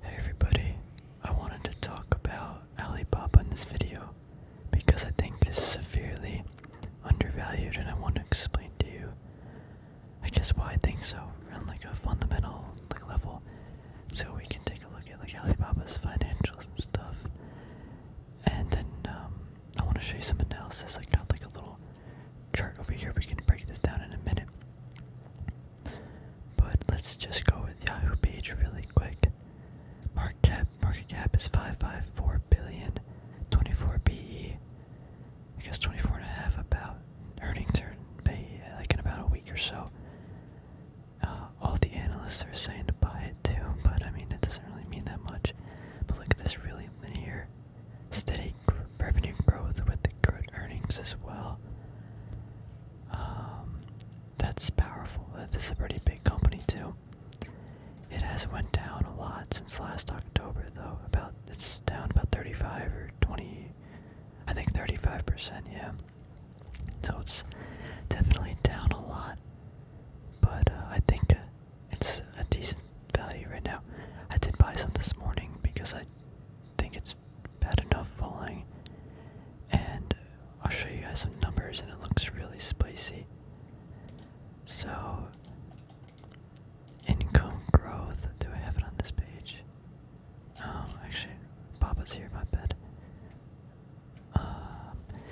Hey everybody, I wanted to talk about Alibaba in this video because I think it is severely undervalued and I want to explain to you I guess why I think so on like a fundamental like level so we can take a look at like Alibaba's financials and stuff and then um, I want to show you some analysis. I got like a little chart over here we can break this down in a minute but let's just go with Yahoo page really quick. Market cap, market cap is 554 billion, 24 BE. I guess 24 and a half about earnings are pay like in about a week or so. Uh, all the analysts are saying to buy it too, but I mean it doesn't really mean that much. But look at this really linear, steady revenue growth with the good earnings as well. Um, that's powerful. Uh, this is a pretty big company too. It has went down a lot since last October though. About it's down about 35 or 20, I think 35 percent. Yeah. So it's definitely down a lot. But uh, I think uh, it's a decent value right now. I did buy some this morning because I think it's bad enough falling. And I'll show you guys some numbers, and it looks really spicy. So, income growth. Do I have it on this page? Oh, actually, Papa's here. in My bed. Um,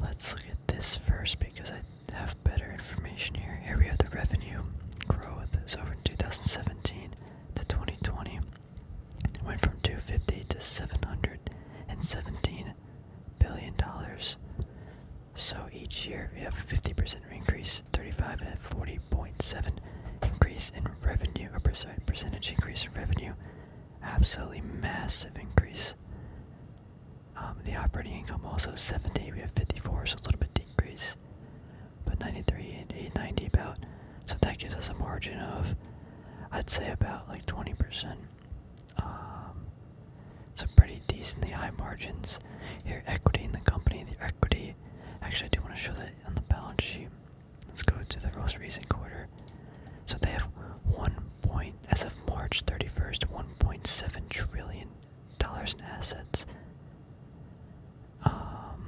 let's look at this first because I have better information here. Here we have the revenue growth. It's over in 2017 to 2020 went from 250 to 717 billion dollars. So each year we have a 50% increase, 35 and 40.7 increase in revenue, a percentage increase in revenue. Absolutely massive increase. Um, the operating income also 70, we have 54, so a little bit decrease but 93 and ninety about. So that gives us a margin of, I'd say about like 20%. Um, so pretty decently high margins. Here, equity in the company, the equity. Actually, I do want to show that on the balance sheet. Let's go to the most recent quarter. So they have one point, as of March 31st, 1.7 trillion dollars in assets um,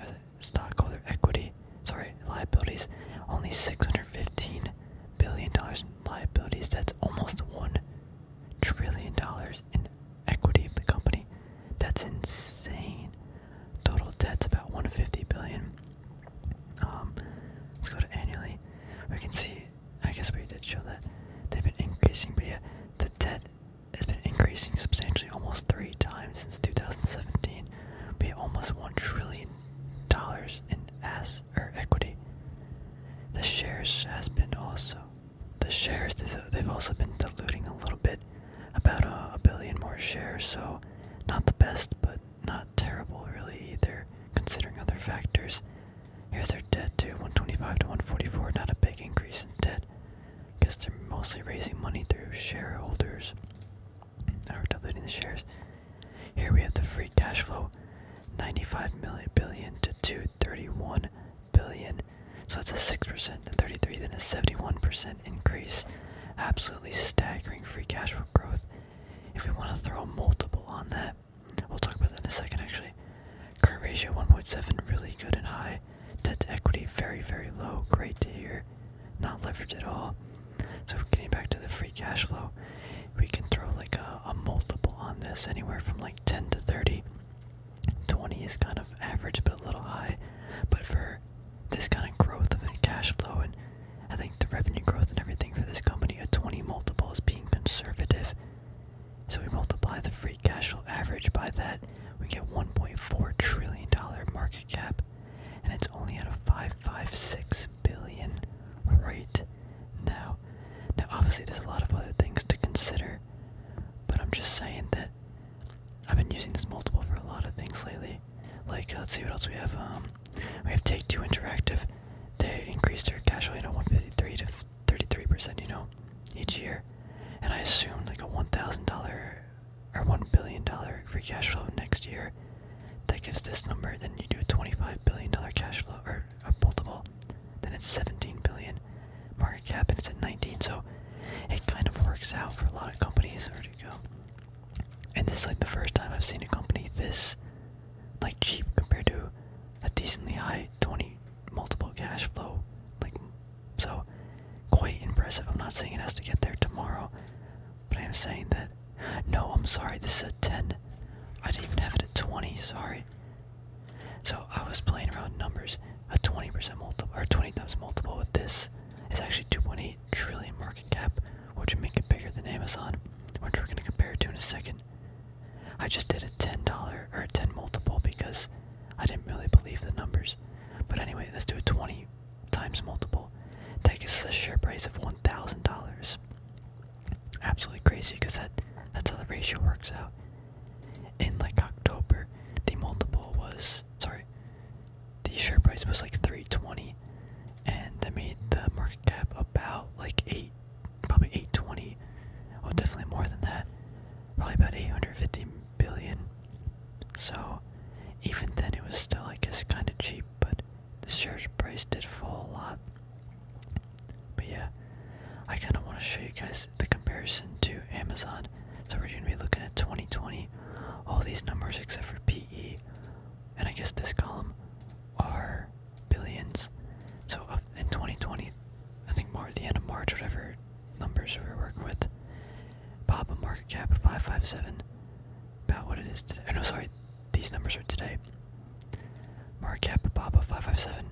uh, stockholder equity, sorry, liabilities, only $615 billion in liabilities. That's almost $1 trillion in equity of the company. That's insane. Total debt's about $150 billion. Um, let's go to annually. We can see, I guess we did show that they've been increasing, but the debt it has been increasing substantially almost three times since 2017. We almost $1 trillion in S or equity. The shares has been also. The shares, they've also been diluting a little bit. About a, a billion more shares, so not the best, but not terrible really either, considering other factors. Here's their debt too, 125 to 144, not a big increase in debt because they're mostly raising money through shareholders or diluting the shares. Here we have the free cash flow, 95 million billion to 231 billion. So that's a 6% to 33, then a 71% increase. Absolutely staggering free cash flow growth. If we want to throw multiple on that, we'll talk about that in a second actually. Current ratio 1.7, really good and high. Debt to equity very, very low. Great to hear. Not leverage at all. So getting back to the free cash flow, we can throw like a, multiple on this, anywhere from like 10 to 30. 20 is kind of average, but a little high. But for this kind of growth of the cash flow, and I think the revenue growth and everything for this company, a 20 multiple is being conservative. So we multiply the free cash flow average by that, we get 1.4 trillion dollar market cap, and it's only at a 556 billion right now. Now, obviously, there's a lot of other things to consider, but I'm just saying that I've been using this multiple for a lot of things lately. Like, uh, let's see what else we have. Um, we have Take Two Interactive. They increased their cash flow, you know, 153 to 33 percent, you know, each year and I assume like a one thousand dollar or one billion dollar free cash flow next year. That gives this number. Then you do a twenty-five billion dollar cash flow or a multiple. Then it's seventeen billion market cap, and it's at nineteen. So it kind of works out for a lot of companies. Where to go? And this is like the first time I've seen a company this like cheap compared to a decently high twenty multiple cash flow, like so, quite impressive. I'm not saying it has to get there tomorrow, but I'm saying that. No, I'm sorry. This is a ten. I didn't even have it at twenty. Sorry. So I was playing around numbers. A twenty percent multiple or twenty times multiple with this is actually two point eight trillion market cap, which would make it bigger than Amazon, which we're gonna compare it to in a second. I just did a ten dollar or a ten multiple because I didn't really believe the numbers. But anyway, let's do a 20 times multiple. That gives us a share price of $1,000. Absolutely crazy because that, that's how the ratio works out. In like October, the multiple was, sorry, the share price was like 320 and that made the market cap about like 8, probably 820, oh definitely more than that, probably about 850 billion. So even then it was still I guess kinda cheap, but the shares price did fall a lot. But yeah, I kinda wanna show you guys the comparison to Amazon. So we're gonna be looking at 2020. All these numbers except for PE and I guess this column are billions. So in 2020, I think more at the end of March, whatever numbers we are working with. Papa market cap 557, about what it is today. Oh no, sorry, these numbers are today. Market cap Papa 557.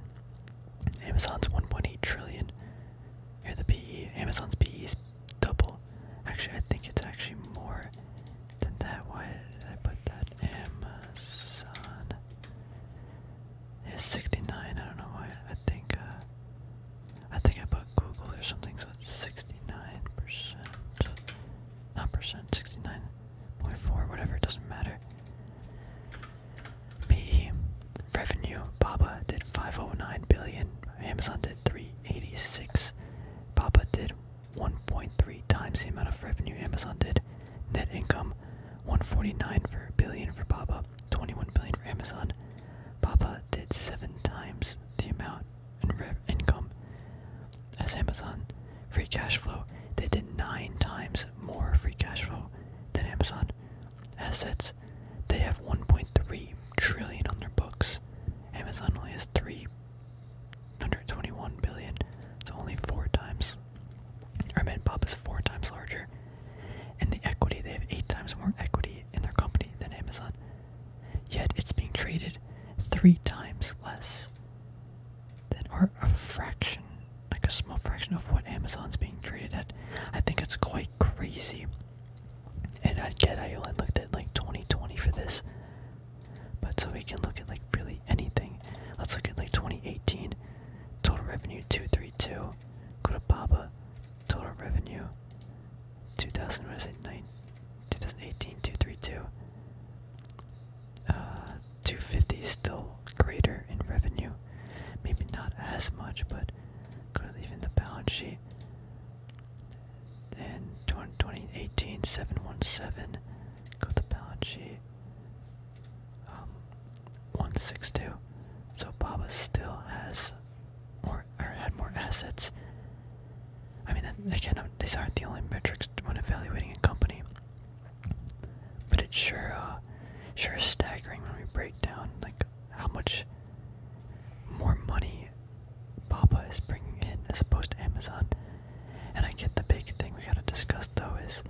Amazon's 1.8 trillion. Here the PE. Amazon's PE is double. Actually, I think it's actually more than that. Why did I put that? Amazon. It's 69. I don't know why. I think uh, I think I put Google or something, so it's 69 percent, not percent, 69.4, whatever. It doesn't matter. PE revenue. Baba did 509 billion. Amazon did 386. Baba did 1.3 times the amount of revenue Amazon did. Net income 149 for billion for Baba. 21 billion for Amazon. Papa did seven times the amount in revenue income as Amazon. Free cash flow, they did nine times more free cash flow than Amazon. Assets, they have 1.3 trillion on their books. Amazon only has 321 billion, so only four times. Or I Papa is four times larger. And the equity, they have eight times more equity in their company than Amazon. Yet it's being traded three times less than, or a fraction, like a small fraction of what Amazon's being traded at. I think it's quite crazy. And I get I only looked at like 2020 for this. But so we can look at like really anything. Let's look at like 2018. Total revenue 232 now. Kurapaba, total revenue, 2000, 2018, 232. Uh, 250 still greater in revenue. Maybe not as much, but gonna leave in the balance sheet. And 2018, 717, go to the balance sheet um, 162. So Baba still has more or had more assets. I mean, again, um, these aren't the only metrics when evaluating a company, but it's sure, uh, sure staggering when we break down like how much more money Baba is bringing in as opposed to Amazon. And I get the big thing we gotta discuss though is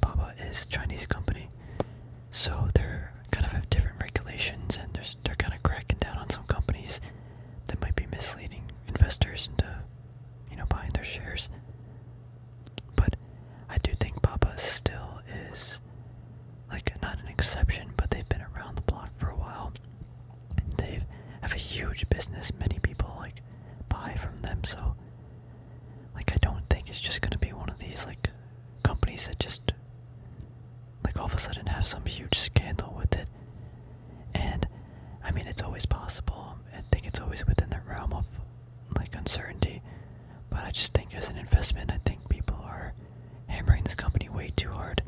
Papa is a Chinese company, so they're kind of have different regulations, and they're, they're kind of cracking down on some companies that might be misleading investors into, you know, buying their shares. But I do think Papa still is, like, not an exception, but they've been around the block for a while. They have a huge business. Many people like buy from them, so like I don't think it's just gonna be one of these like companies that just like all of a sudden have some huge scandal with it. And I mean it's always possible. I think it's always within the realm of like uncertainty. But I just think as an investment I think people are hammering this company way too hard.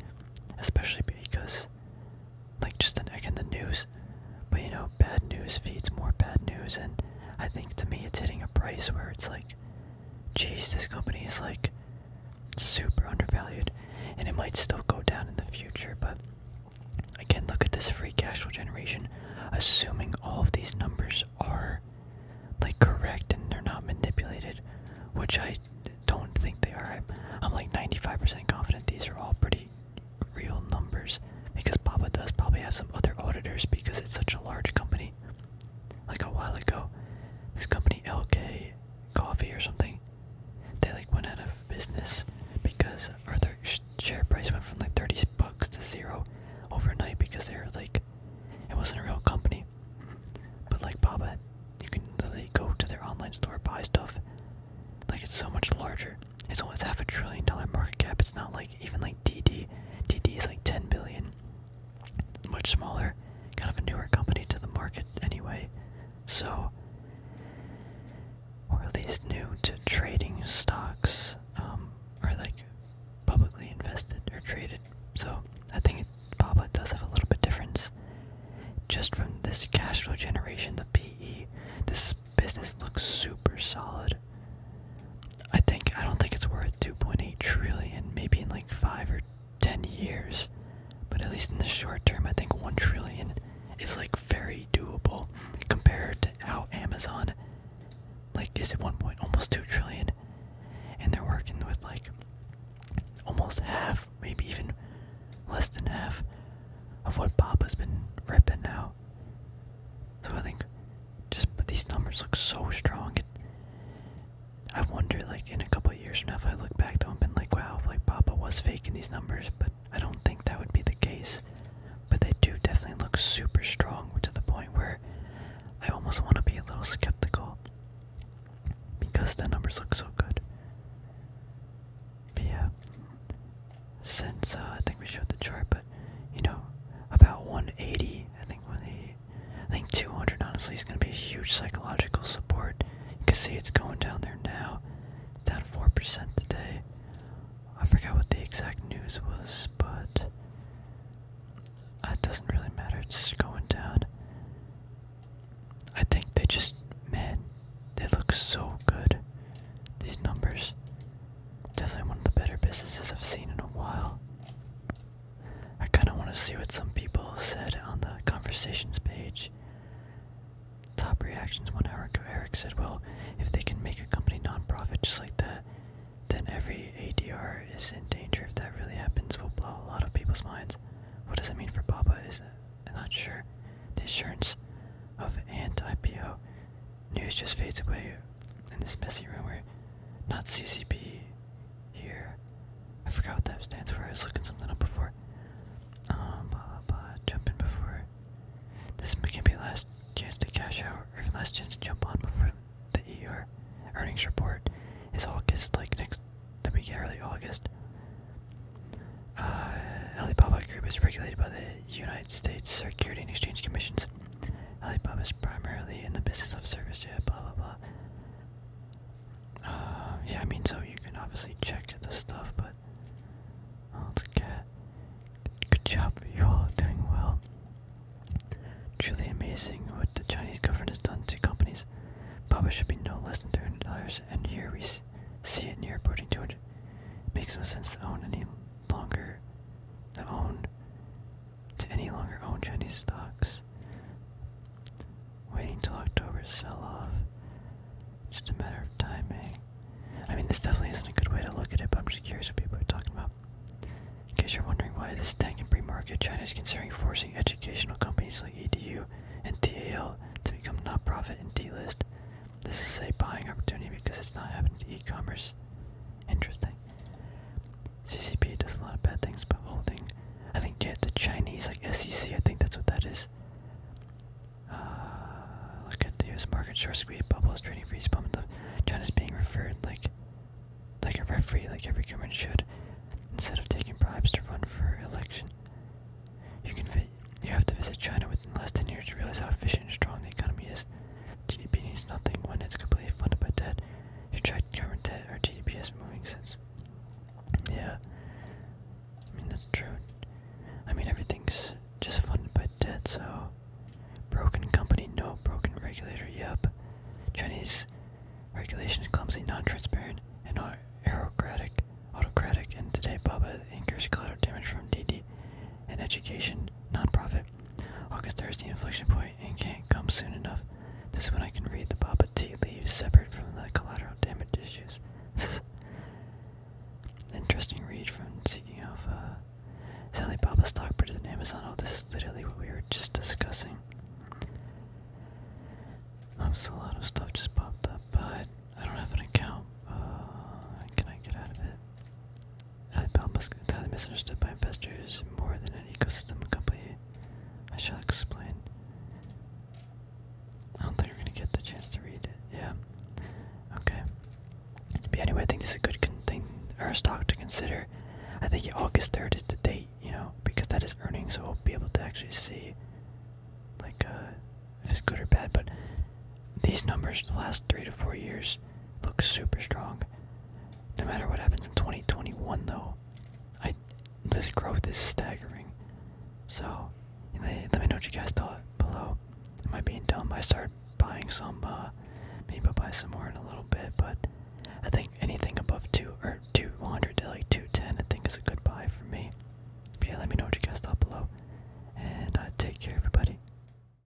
Especially because like just the, again the news. But you know, bad news feeds more bad news and I think to me it's hitting a price where it's like, jeez, this company is like super undervalued, and it might still go down in the future. But again, look at this free cash flow generation, assuming all of these numbers are like correct and they're not manipulated, which I don't think they are. I'm like 95% confident these are all pretty real numbers because Baba does probably have some other auditors because it's such a large company. Like a while ago, this company LK Coffee or something, they like went out of business because their share price went from like 30 bucks to zero overnight because they are like, it wasn't a real company. But like Baba, you can literally go to their online store, buy stuff. Like it's so much larger. It's almost half a trillion dollar market cap. It's not like even like DD, DD is like 10 billion, much smaller, kind of a newer company to the market anyway. So, or at least new to trading stocks, um, like publicly invested or traded. So I think it does have a little bit difference just from this cash flow generation, the PE. This business looks super solid. I think I don't think it's worth 2.8 trillion maybe in like 5 or 10 years. But at least in the short term, I think 1 trillion is like very doable compared to how Amazon like is at one point almost 2 trillion and they're working with like almost half, maybe even less than half of what Bob has been ripping now. So I think just these numbers look so strong. I wonder, like in a couple of years from now, if I look back to them and like, wow, like Papa was faking these numbers, but I don't think that would be the case. But they do definitely look super strong to the point where I almost want to be a little skeptical because the numbers look so good. But yeah, since uh, I think we showed the chart, but you know, about 180. I think 180. I think 200 honestly is going to be a huge psychological support. You can see it's going down there now. Down 4% today. I forgot what the exact news was, but it doesn't really matter. It's going down. I think they just, man, they look so good. These numbers. Definitely one of the better businesses I've seen in a while. I kind of want to see what some people said on the conversations page. Top reactions one hour Eric said, well, if they can make a company non-profit just like that, then every ADR is in danger. If that really happens, will blow a lot of people's minds. What does it mean for Baba? Is I'm not sure. The assurance of anti-IPO news just fades away in this messy room where not CCP here. I forgot what that stands for. I was looking something up before. Um, blah blah blah. Jump in before. This can be last chance to cash out, or even last chance to jump on before the ER earnings report is August, like next. the we get August. Uh, Alibaba Group is regulated by the United States Security and Exchange Commission's Alibaba is primarily in the business of service, yeah, blah blah blah. Uh, yeah, I mean, so you can obviously check the stuff, but oh, it's a cat. Good job, you all are doing well. Truly amazing what the Chinese government has done to companies. Baba should be no less than three hundred dollars, and here we see it near approaching two hundred. Makes no sense to own any longer own to any longer own Chinese stocks. Waiting till October sell off. Just a matter of timing. I mean, this definitely isn't a good way to look at it, but I'm just curious what people are talking about. In case you're wondering why this tank in pre-market, China is considering forcing educational companies like EDU and TAL to become not-profit and delist. This is a buying opportunity because it's not happening to e-commerce Interesting. CCP does a lot of bad things, but holding. I think yeah, the Chinese like SEC. I think that's what that is. Uh, look at the U.S. market short squeeze bubbles, trading freeze bump. is being referred like, like a referee, like every government should, instead of taking bribes to run for election. You can you have to visit China within the last ten years to realize how efficient and strong the economy is. GDP needs nothing when it's completely funded by debt. If you track government debt, or GDP is moving since. Yeah. I mean, that's true. I mean, everything's just funded by debt, so. Broken company, no. Broken regulator, yep. Chinese regulation is clumsy, non transparent, and not bureaucratic, autocratic, and today Baba incurs collateral damage from DD and education, nonprofit. August there is the inflection point and can't come soon enough. This is when I can read the Baba tea leaves separate from the collateral damage issues. This Interesting read from Seeking Alpha. Uh, Sally Baba stock printed in Amazon. Oh, this is literally what we were just discussing. I'm um, so a lot of stuff just popped up, but I don't have an account. Uh, can I get out of it? IPL must be entirely misunderstood by investors more than an ecosystem company. I shall explain. I don't think you are gonna get the chance to read it. Yeah. Okay. But anyway, I think this is a good thing or a stock to consider. I think August third is the date, you know, because that is earnings, so we'll be able to actually see, like, uh, if it's good or bad. But these numbers, the last three to four years, look super strong. No matter what happens in 2021, though, I this growth is staggering. So, let me know what you guys thought below. Am I being dumb? I started buying some. Uh, maybe I'll buy some more in a little bit, but I think anything above two or 200 to like 210, I think is a good buy for me. yeah, let me know what you guys thought below, and uh, take care, everybody.